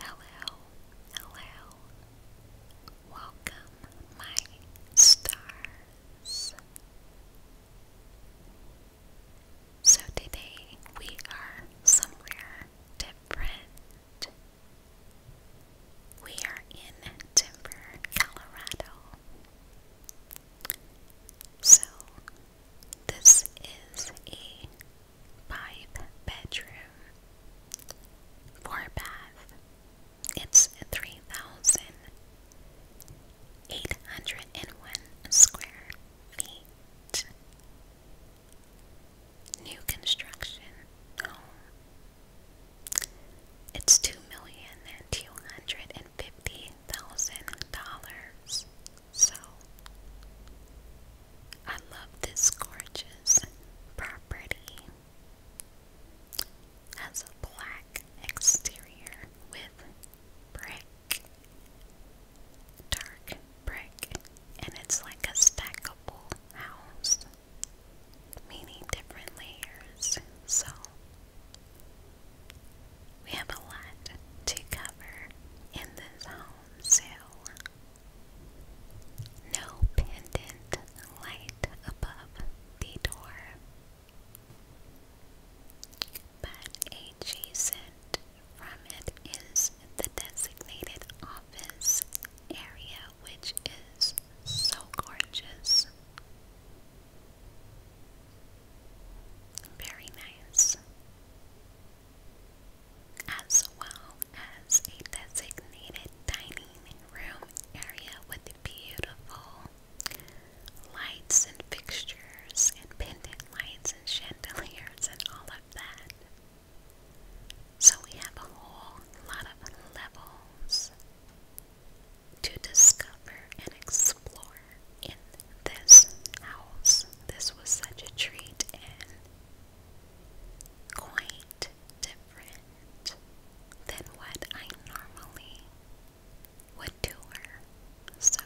Hello, hello. Welcome, my stars. So today we are somewhere different. We are in Denver, Colorado. So this is a five bedroom, four bath. It's three thousand eight hundred and one square feet. New construction home. It's two million two hundred and fifty thousand dollars. So, I love this gorgeous property. Has a black exterior with brick, dark brick, and it's like a stackable house, meaning different layers. So, we have a lot to cover in this home sale. No pendant light above the door, but adjacent from it is the designated office area, which is so gorgeous. Very nice as well as a designated dining room area with beautiful lights and fixtures and pendant lights and chandeliers and all of that. So we have a whole lot of levels to discover and explore in this house. This was such a treat and quite different than what I normally would do So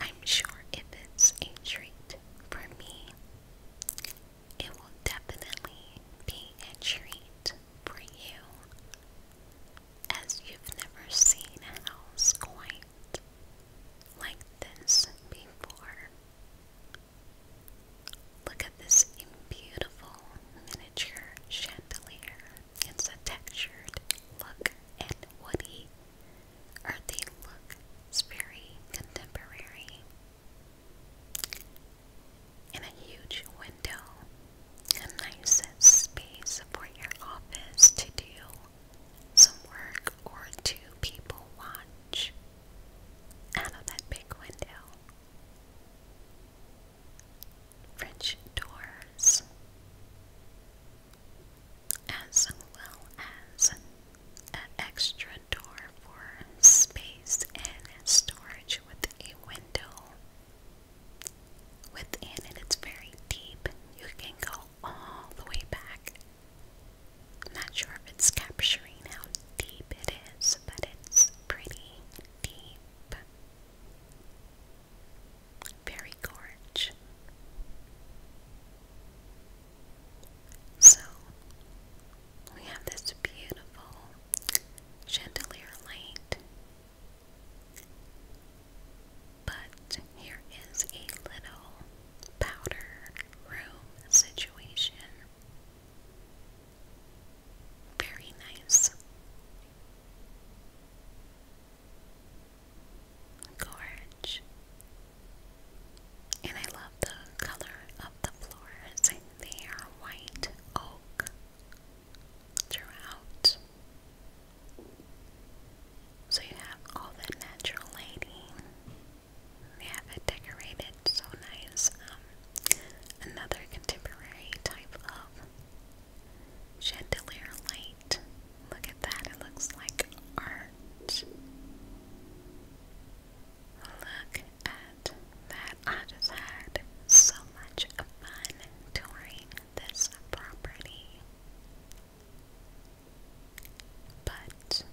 I'm sure if it's a treat for me, it will definitely be a treat for you as you've never seen a house quite like this before. Look at this beautiful miniature chandelier. It's a textured look and woody, earthy look. It's very contemporary. And a huge window, a nice space for your office to do some work or two people watch out of that big window. French doors, as well as an extra door for space and storage with a window. Within it, it's very deep. You can go all the way back. not sure if it's capturing how deep it is, but it's pretty deep. Very gorge. So, we have this beautiful chandelier light but here is a little powder room situation. Very nice. Gorge. And I love the color of the floors. They are white oak throughout. So you have all that natural lighting. They have it decorated so nice. Um, another contemporary type of chandelier light. Look at that, it looks like art. Look at that. I just had so much fun touring this property. But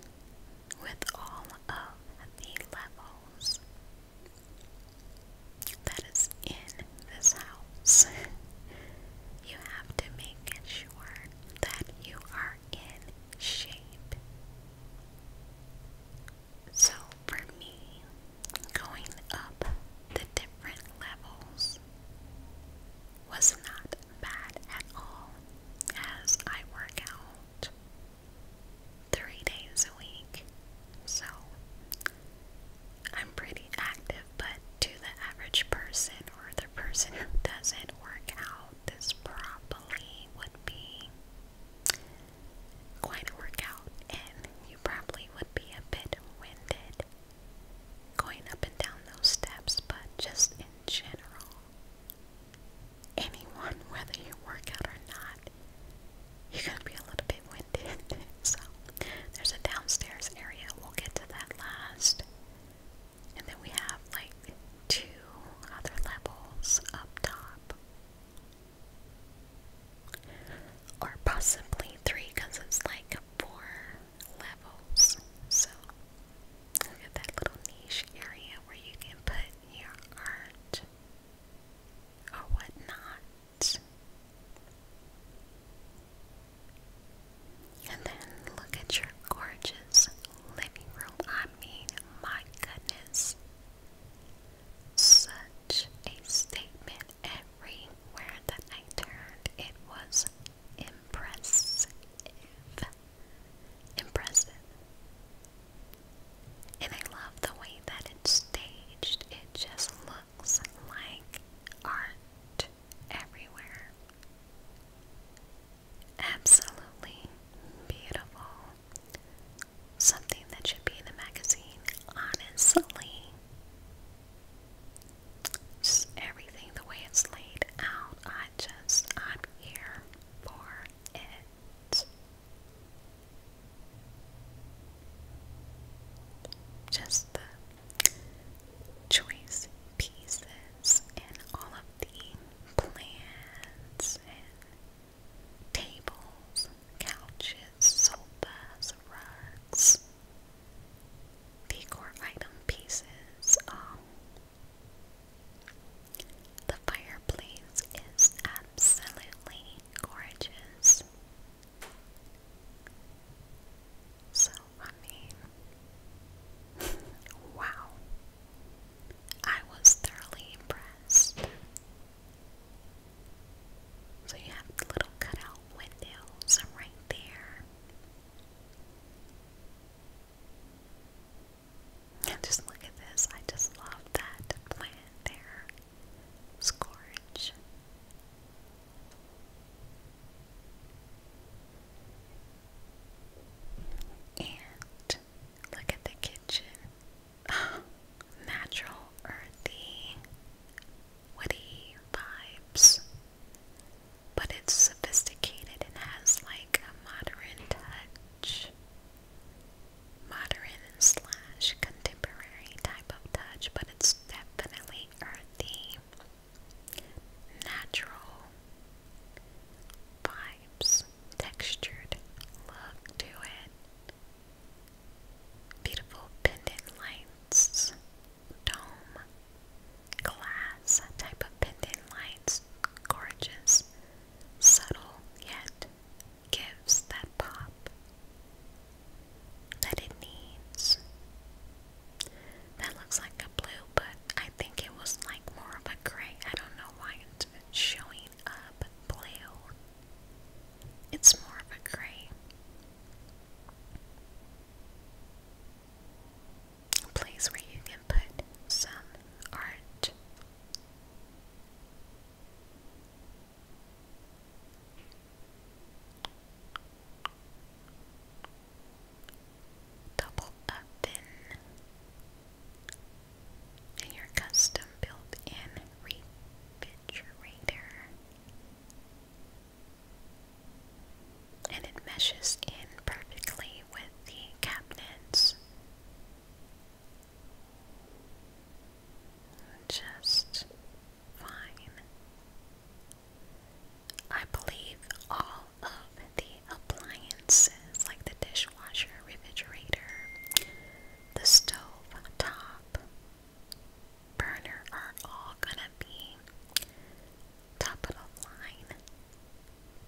with all of the levels that is in this house, you have to make sure that you are in shape. So for me, going up the different levels was not bad at all as I work out three days a week. So I'm pretty active, but to the average person or the person who doesn't work out, this probably would be quite a workout, and you probably would be a bit winded going up and down those steps, but just in general, anyone, whether you work out or not, you're going to be a little bit winded. so, there's a downstairs area. We'll get to that last. And then we have like two other levels up top. Or possibly three because it's like four levels. So look at that little niche area where you can put your art or whatnot. And then look at your gorgeous living room. I mean, my goodness. Such a statement everywhere that I turned. It was Impressive. Impressive. And I love the way that it's staged. It just looks like art everywhere. Absolutely beautiful. Something that should be in a magazine, honestly. Just everything the way it's laid out. I just, I'm here for it. Just the choice pieces and all of the plants and tables, couches, sofas, rugs decor item pieces. Um, the fireplace is absolutely gorgeous. So, I mean, wow. I was thoroughly impressed. So, you have little cutout windows right there. Just look at this. I just love that plant there. Scourge. And look at the kitchen. Natural, earthy, woody vibes, but it's sophisticated and has like a modern touch, modern slash contemporary type of touch, but it's definitely earthy, natural vibes, textured look to it. Beautiful pendant lights dome glass type of pendant lights, gorgeous, subtle, yet gives that pop that it needs. That looks like a blue, but I think it was like more of a gray. I don't know why it's showing up blue. It's more of a gray a place where you can put some art. Double oven and your custom built in refrigerator and it meshes in perfectly with the cabinets. Just fine. I believe all of the appliances, like the dishwasher, refrigerator, the stove top, burner are all gonna be top of the line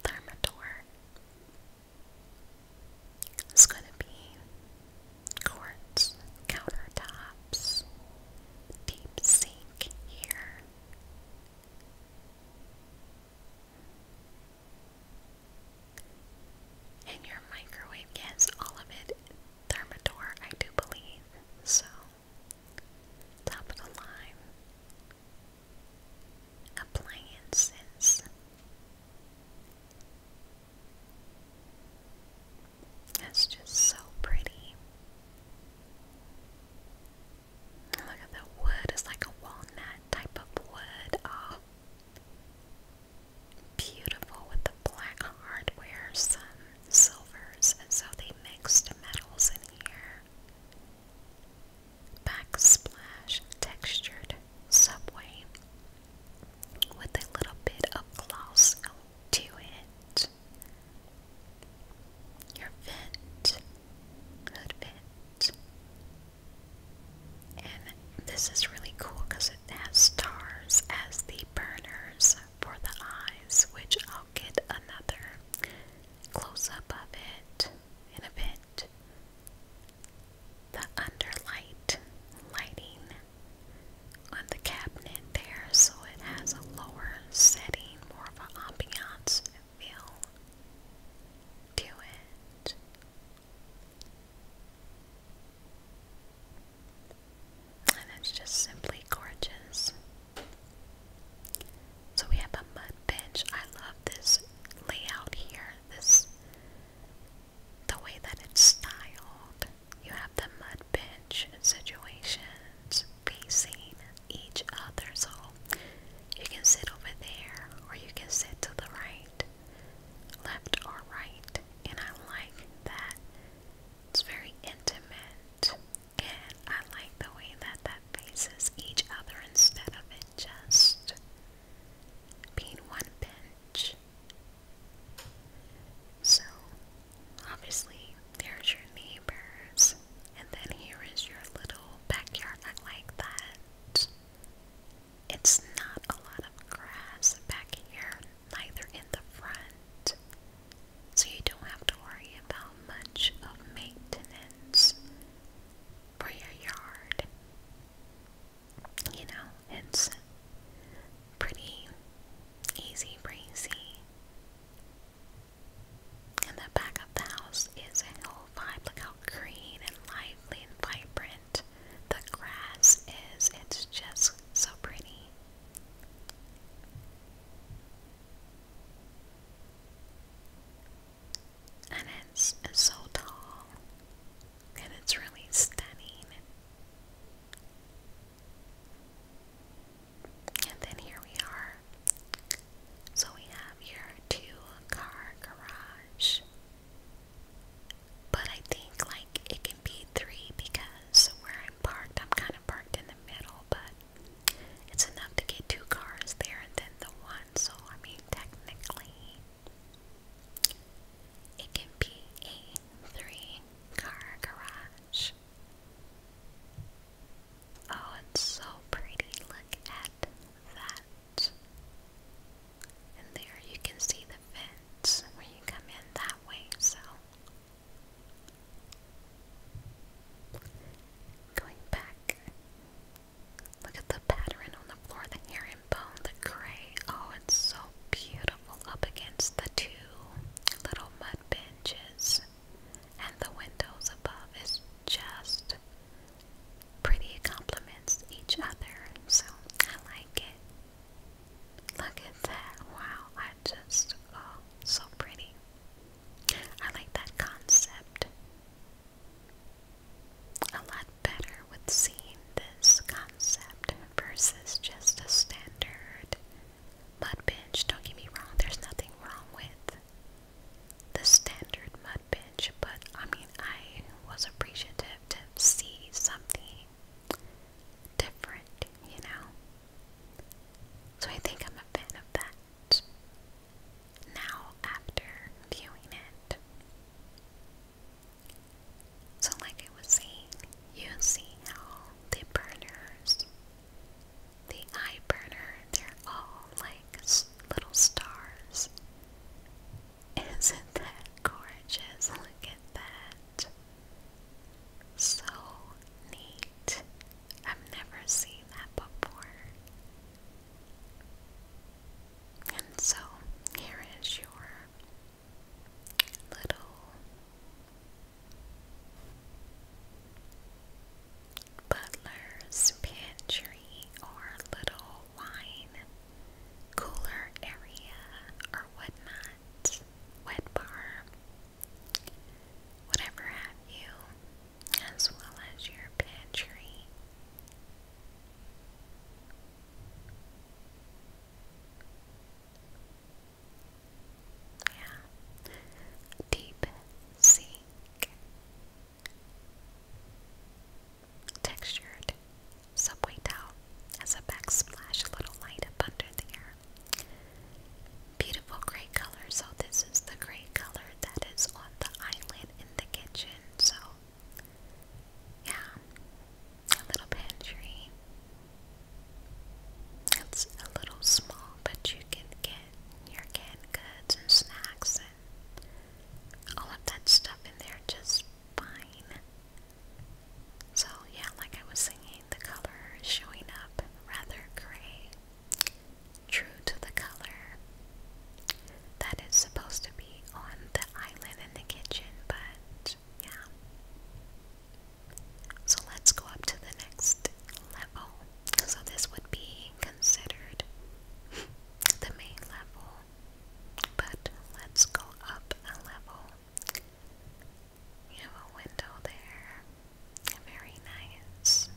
Thermador. It's gonna be quartz countertops, deep sink here. And your microwave gets all of it Thermador, I do believe. So Top of the line appliances. That's just so pretty. Look at the wood, it's like a walnut type of wood. Oh, beautiful with the black hardware, silvers, and so they mixed metals in here. Backsplash textured subway with a little bit of gloss to it. Your vent, hood vent. And this is really cool because it has stars as the burners for the eyes, which I'll get another close up of it in a bit. The underlight lighting on the cabinet there, so it has a lower setting, more of an ambiance feel to it. And it's just simply gorgeous. So we have a mud bench. I love this layout here. This the way that it's styled. You have the mud bench situations facing each other. So you can sit over there or you can sit to the right, left or right. And I like that it's very intimate, and I like the way that that faces each other instead of it just being one bench. So, obviously, there's your neighbors, and then here is your little backyard. I like that. It's not a lot of grass back here, neither in the front, so you don't have to worry about much of maintenance for your yard. You know, it's pretty easy breezy. And the back of the house is a whole vibe. Look how green and lively and vibrant the grass is. It's just so pretty. And it's, so tall, and it's really stunning. And then here we are. So we have your two car garage. But I think like it can be three because because where I'm parked, I'm kind of parked in the middle, but it's enough to get two cars there and then the one. So, I mean, technically, it can be a three car garage. Oh, it's so pretty. Look at that. And there you can see the fence where you come in that way, so Going back. Look at the pattern on the floor, the herringbone, the gray. Oh, it's so beautiful up against the two little mud benches. And the windows above is just pretty complements each other. So I like it. Look at that. Wow, I just, oh, so pretty. I like that concept a lot better with seeing this concept versus just a standard mud bench. Don't get me wrong, there's nothing wrong with the standard mud bench, but I mean, I was appreciative to see something different, you know? So I think I'm a fan of that now after viewing it. So, like I was saying, you see how the burners, the eye burner, they're all like little stars. Isn't that gorgeous? Look at that. So neat. I've never seen that before. And so here is your little butler's pantry or little wine cooler area or whatnot wet, bar, whatever have you, as well as your pantry. Yeah. Deep sink. Textured subway towel as a backsplash a little light up under there. Beautiful gray color, so this is the gray color that is on the island in the kitchen, so yeah. A little pantry. It's a little small, but you can get your canned goods and snacks and all of that stuff in there just fine. So, yeah, like I was saying, the color is showing up rather gray, true to the color that is supposed to be on the island in the kitchen, but yeah. So, let's go up to the next level. So, this would be considered the main level, but let's go up a level. You have a window there. very nice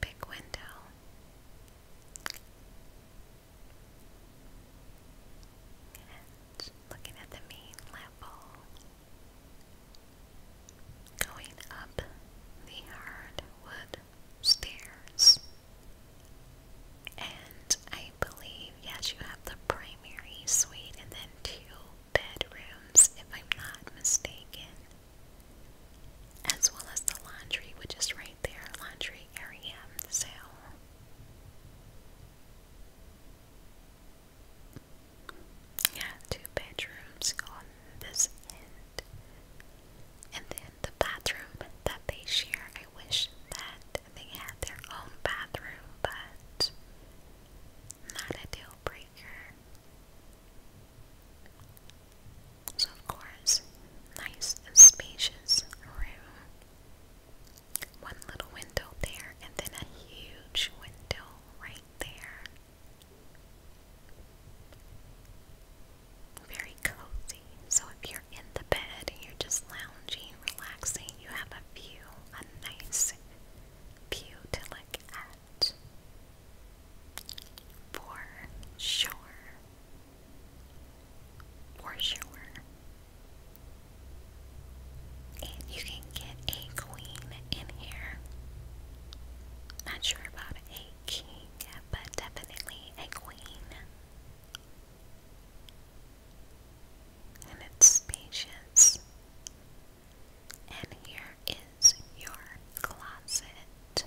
big window. And looking at the main level. Going up the hardwood stairs. And I I believe. Yes, you have the primary suite and then two bedrooms, if I'm not mistaken. As well as the laundry, which is right there, laundry area. So yeah, two bedrooms on this end. And then the bathroom that they share I wish that they had their own bathroom, but not a deal breaker. So, of course, nice spacious room. One little window there, and then a huge window right there. Very cozy. So, if you're in the bed and you're just lounging, relaxing, you have a view a nice butylic at. For sure. For sure. And you can get a queen in here. Not sure about a king, but definitely a queen and it's spacious. And here is your closet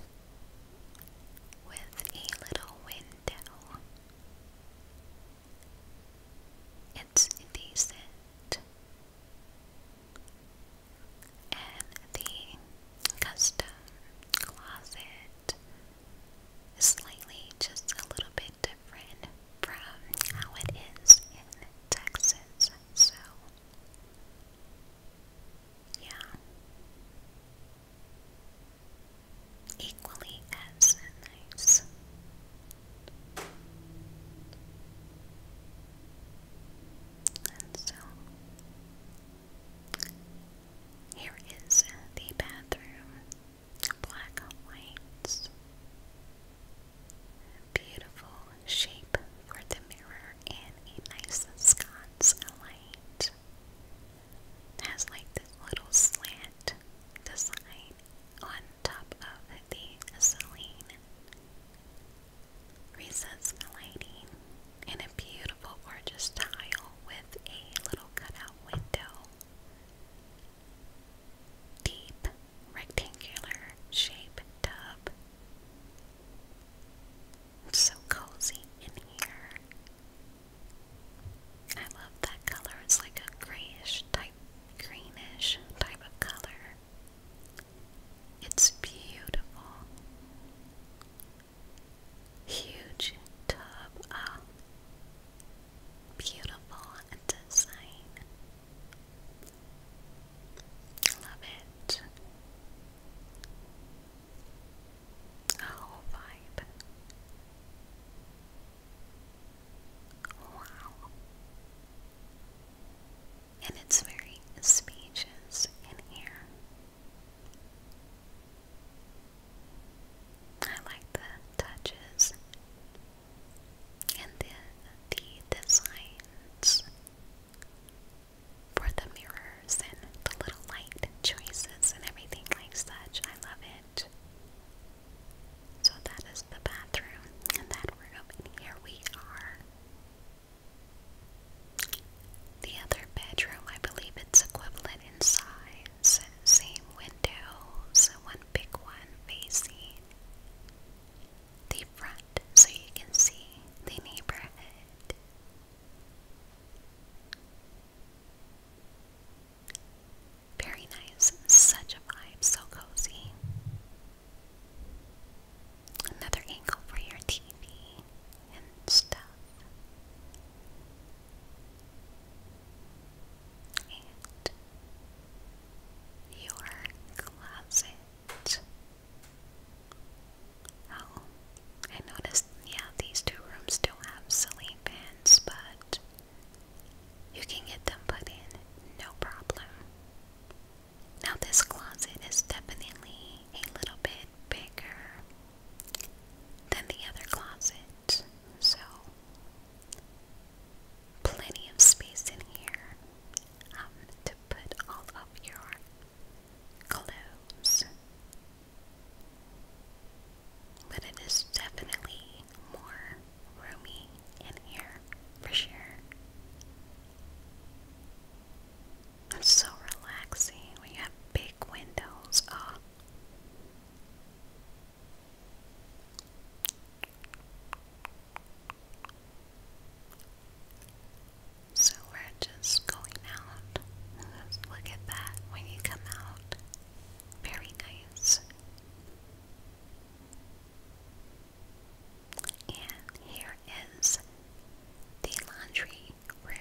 with a little window. It's decent. And the custom closet is slightly just a little bit different from how it is in Texas, so yeah. Equally as nice. And so, here is the bathroom black whites. Beautiful shape for the mirror and a nice sconce light. has like this little slant design on top of the Celine. Recessed lighting in a beautiful, gorgeous tile with a little cutout window deep rectangular shape tub. It's so cozy in here. I love that color. It's like a grayish type, greenish type of color. It's beautiful. Huge tub. Oh, Beautiful design. Love it. A whole Wow. And it's very spacious in here. I like the touches and the, the designs for the mirrors and the little light choices and everything like such. I love it. So that is the bathroom and that room, here we are. The other bedroom, I believe it's equivalent in size same windows, one big one facing the front so you can see the neighborhood. Very nice, such a vibe, so cozy. Another angle for your TV and stuff your closet. Oh, I noticed, yeah, these two rooms still have silly pans, but you can get them put in no problem. Now, this closet is definitely a little bit bigger than the other closet, so plenty of space in here um, to put all of your clothes. But it is definitely more roomy in here for sure. so relaxing when have big windows. Oh, so we're just going out. look at that when you come out. Very nice. And here is the laundry room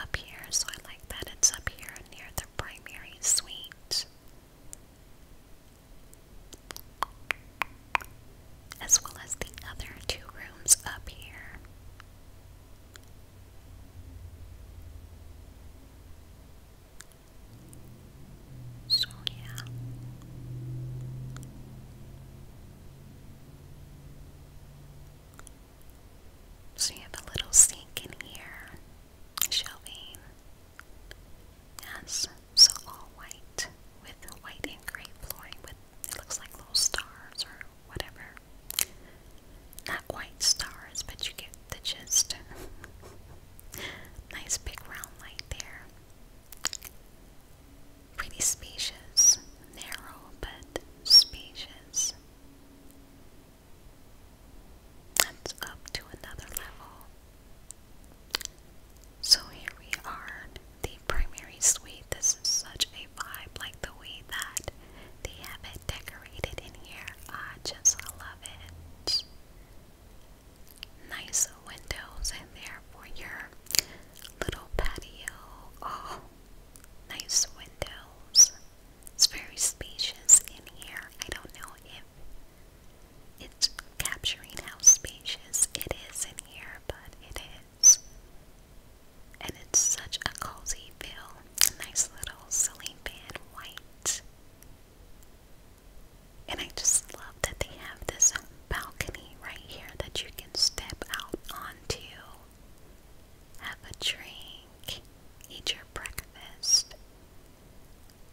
up here. So I like that it's up here near the primary suite as well as the other two rooms up here. So, yeah. So, you have a little sink in here shelving. Yes, so all white with white and gray flooring with it looks like little stars or whatever. Not quite stars, but you get the gist. nice big round light there. Pretty spacious, narrow but spacious. That's up to another level. So here we are, the primary suite. This is such a vibe, like the way that they have it decorated in here. I just love it. Nice windows in there for your little patio. Oh, nice windows. It's very spacious in here. I don't know if it's capturing how spacious it is in here, but it is. And it's such a cozy feel. Nice little ceiling fan white. And I just love that they have this balcony right here that you can step out onto, have a drink, eat your breakfast,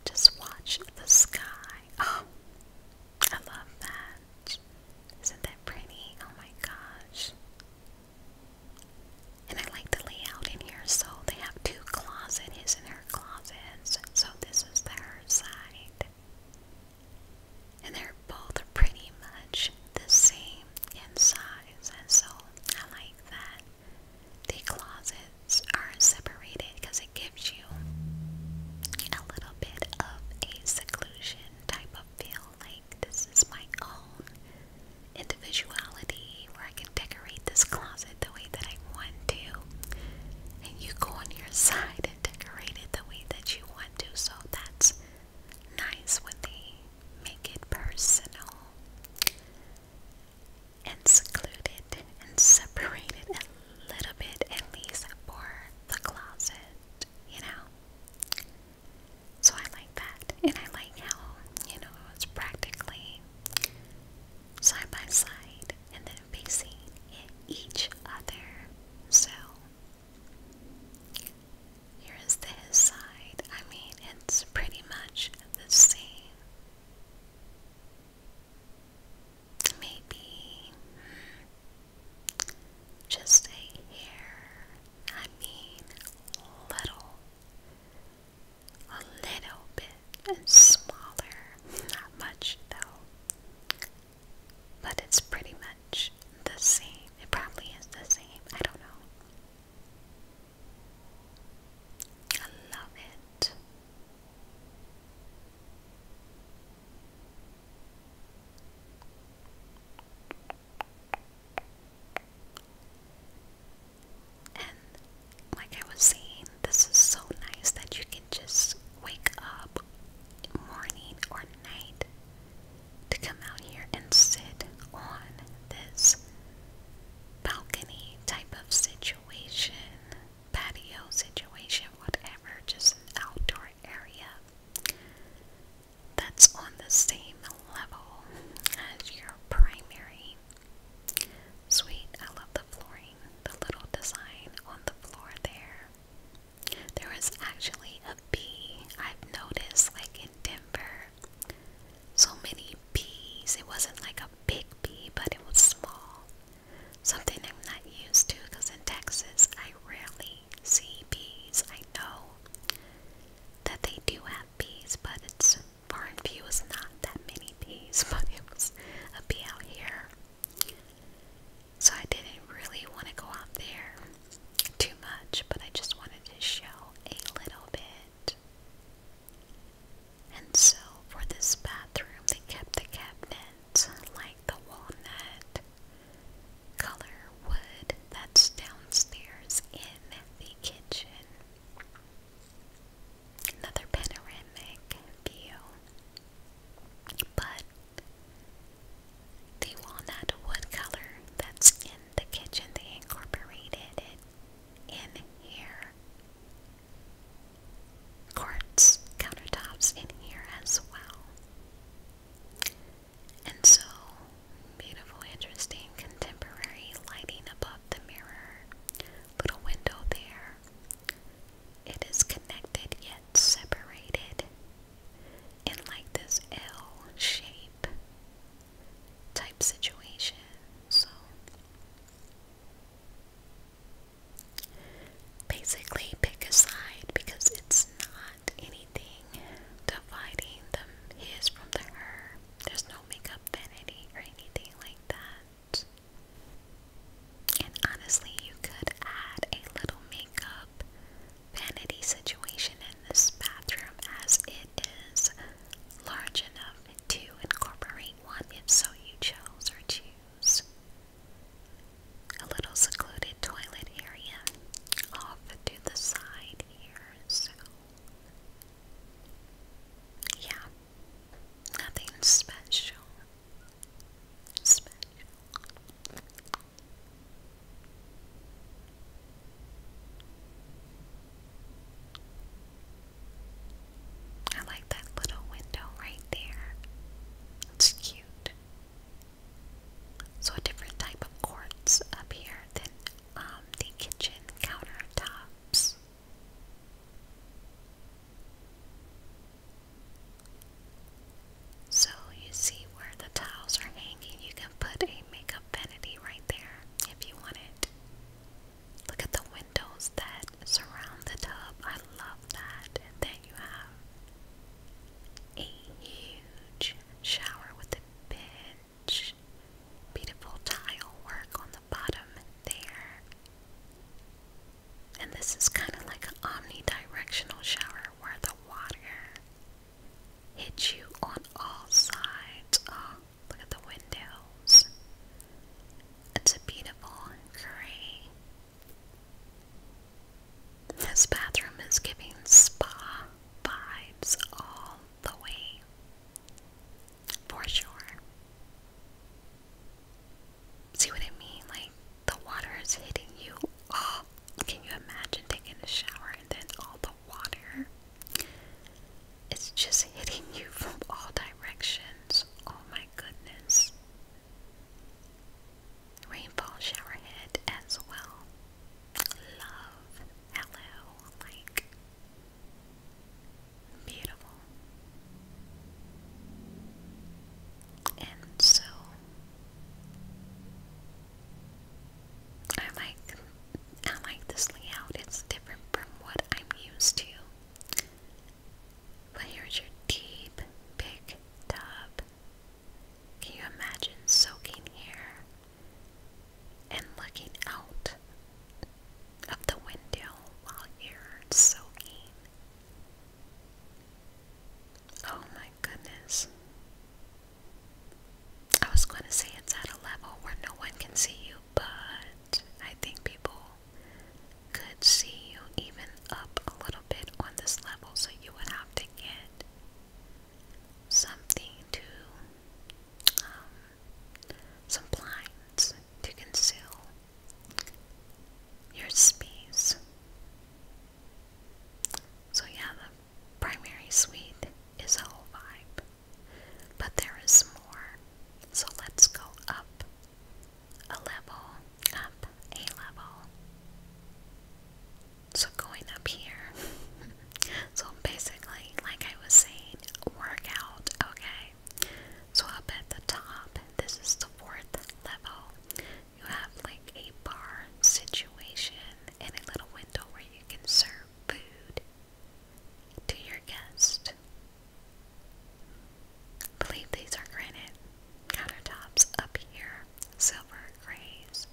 just watch the sky. Oh, I love that. Isn't that pretty? Oh my gosh. And I like the layout in here. So they have two closets, his and closets. So this is the side. And they're both pretty much the same in size. And so I like that. The closets are separated because it gives you a little bit of a seclusion type of feel like this is my own individuality where I can decorate this closet the way that I want to. And you go on your side and decorate it the way that you want to. So that's nice when they make it personal and secluded and separated a little bit at least for the closet, you know. So I like that, and I like how you know it's practically side by side and then facing each other. So here is the his side. I mean, it's pretty much the same. Maybe just a hair, I mean, little, a little bit and smaller, not much though, but it's pretty much the same. It probably is the same, I don't know. I love it. And like I was saying, this is so nice that you can just wake up morning or night to come out here and sit on this balcony type of situation, patio situation, whatever, just an outdoor area that's on the same level as your primary suite. I love the flooring, the little design on the floor there. There is actually a bee I've noticed, like in Denver, so many bees. It wasn't like a big bee, but it was small. Something I'm not used to because in Texas I rarely see bees. I know that they do have bees, but it's far and few is not that many bees, but it's a bee out here. So I didn't really want to go out there too much, but I just wanted to show a little bit. And so for this bathroom, they kept the cabinets like the walnut color wood that's downstairs in the kitchen. Another panoramic view. But the walnut wood color that's in the kitchen, they incorporated it in here. Quartz countertops in here as well. And so, beautiful, interesting, contemporary lighting above the mirror. Little window there. It is connected yet separated in like this L shape type situation. So basically, pick a side because it's not anything dividing them his from the her. There's no makeup vanity or anything like that. And honestly, you could add a little makeup vanity situation in this bathroom as it is large enough to incorporate one if so you chose or choose. A little secluded toilet area off to the side here, so yeah, nothing special. Special. I like that little window right there. It's cute. So a different type of quartz up here than um, the kitchen countertops. So you see where the tiles are hanging, you can put a makeup vanity right there if you want it. Look at the windows that surround the tub. I love that. And then you have a huge shower with a bench. Beautiful tile work on the bottom there. And this is kind of like an omnidirectional shower where the water hits you on all sides. Oh, Look at the windows. It's a beautiful gray. This bathroom is giving spa vibes all the way. For sure. See what I mean? Like, the water is hitting you. Oh, can you imagine taking a shower and then all the water it's just hitting you from all directions. Oh my goodness. Rainfall showerhead as well. Love. Hello. Like. Beautiful. And so. I like I like this layout. It's different from what I'm used to. But here's your deep, big tub. Can you imagine soaking here and looking out of the window while you're soaking? Oh my goodness. I was going to say it's at a level where no one can see you, but I think people could see you even up a little bit on this level, so you would have to get something to, um, some blinds to conceal your space. So, yeah, the primary suite is a whole vibe. But there is more, so let's go up a level, up a level. So, going up here. so, basically, like I was saying, workout. okay? So, up at the top, this is the fourth level. You have like a bar situation and a little window where you can serve food to your guest. believe these are granite countertops up here, silver grays,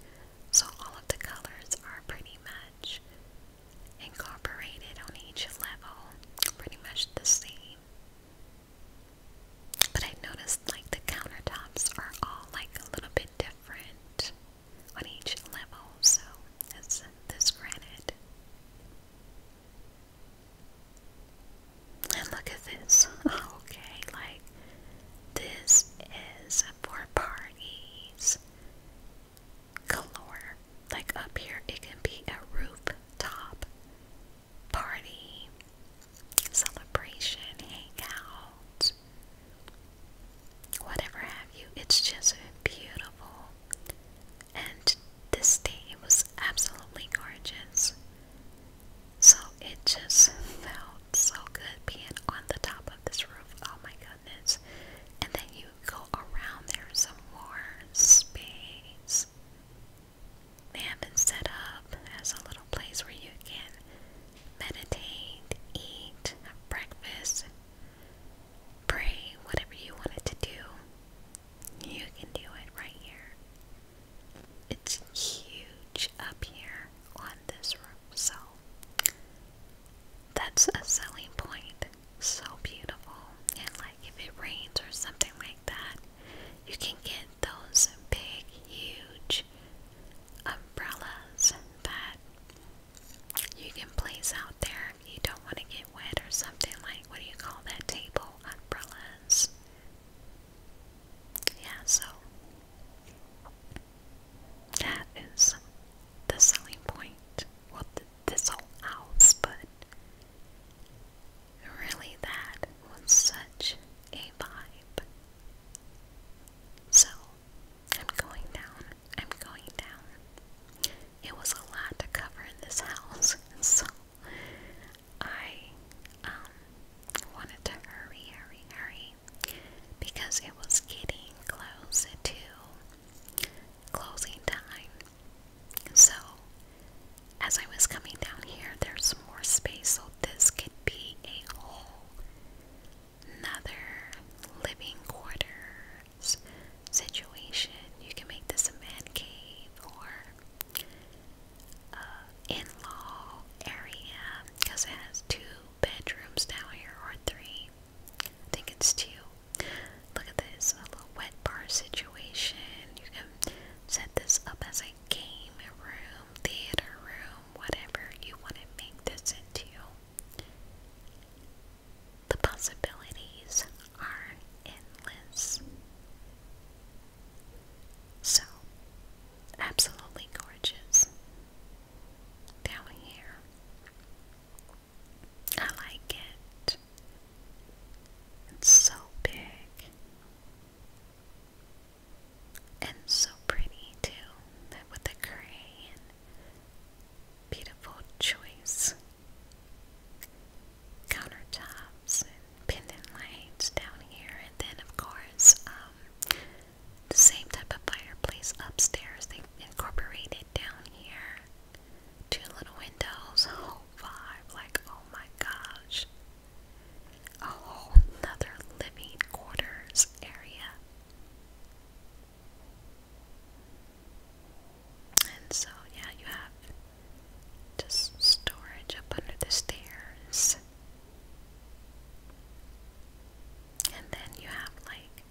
so all of the colors are pretty much incorporated on each level, pretty much the same. But I noticed like the countertops are all like a little bit different on each level, so it's this granite. And look at this. Okay, like this is for parties. Galore. Like up here, it can be a rooftop party, celebration, hangout whatever have you. It's just beautiful. And this day was absolutely gorgeous. So it just felt so good being on the top of this roof. Oh my goodness. And then you go around there some more space. They have been set up as a little place where you can meditate, eat, have breakfast, Pray whatever you wanted to do. You can do it right here. It's huge up here on this room, so that's a selling point. So beautiful. And like if it rains or something like that, you can get those big, huge umbrellas that you can place out there if you don't want to get wet or something like what do you call that table? Umbrellas. Yeah, so that is the selling point. Well, this whole house, but really, that was such a vibe. So I'm going down. I'm going down. It was a lot to cover in this house, so I um wanted to hurry, hurry, hurry because it was getting close to closing time. So as I was coming down here, there's more space, so this could be a whole another living quarters situation. You can make this a man cave or uh, in-law area because it has two bedrooms down here or three. I think it's two. Look at this, a little wet bar situation. You can set this up as a game room, theater room, whatever you want to make this into. The possibilities are endless. So, absolutely gorgeous. Down here. I like it. It's so big. And so pretty too, with the gray beautiful choice countertops pendant lights down here, and then of course um, the same type of fireplace upstairs. They incorporated down here, two little windows, oh, vibe. Like oh my gosh, a whole another living quarters area. And so, yeah, you have just storage up under the stairs. And then you have like,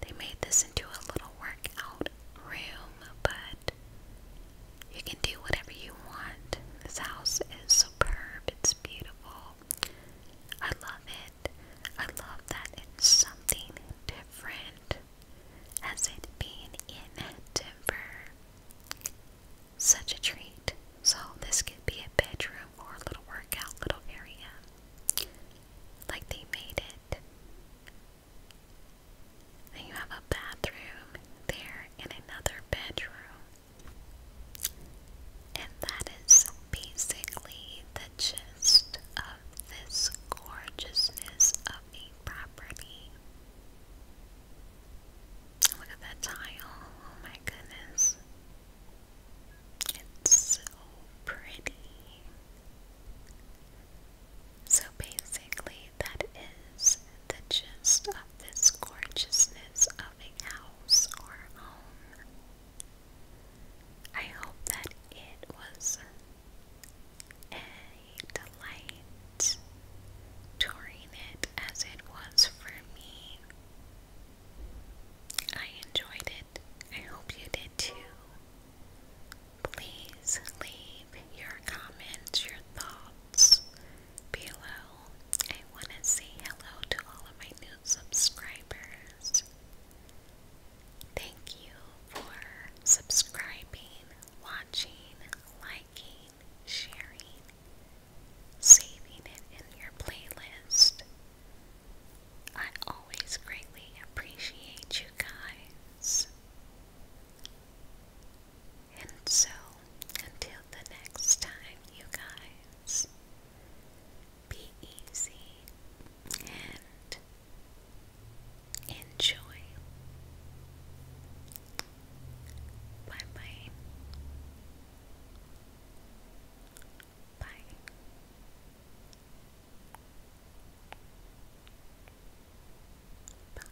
they made this into a little workout room, but you can do whatever you want. This house is superb, it's beautiful. I love I love that it's something different as it being in Denver. Such a treat. So this could be a bedroom or a little workout little area. Like they made it. Then you have a bathroom there and another bedroom. And that is basically the the gist of this gorgeousness of a property. Look at that tile. Oh my goodness. It's so pretty. So basically, that is the gist of this gorgeousness of a house or home. I hope that it was a delight touring it as it was for me. I enjoyed it. I hope you did too. Please leave your comments, your thoughts below. I want to say hello to all of my new subscribers. Thank you for subscribing, watching, liking, sharing, saving it in your playlist. I always greatly appreciate you guys. And so, until the next time, you guys, be easy, and enjoy. Bye bye. Bye. Bye.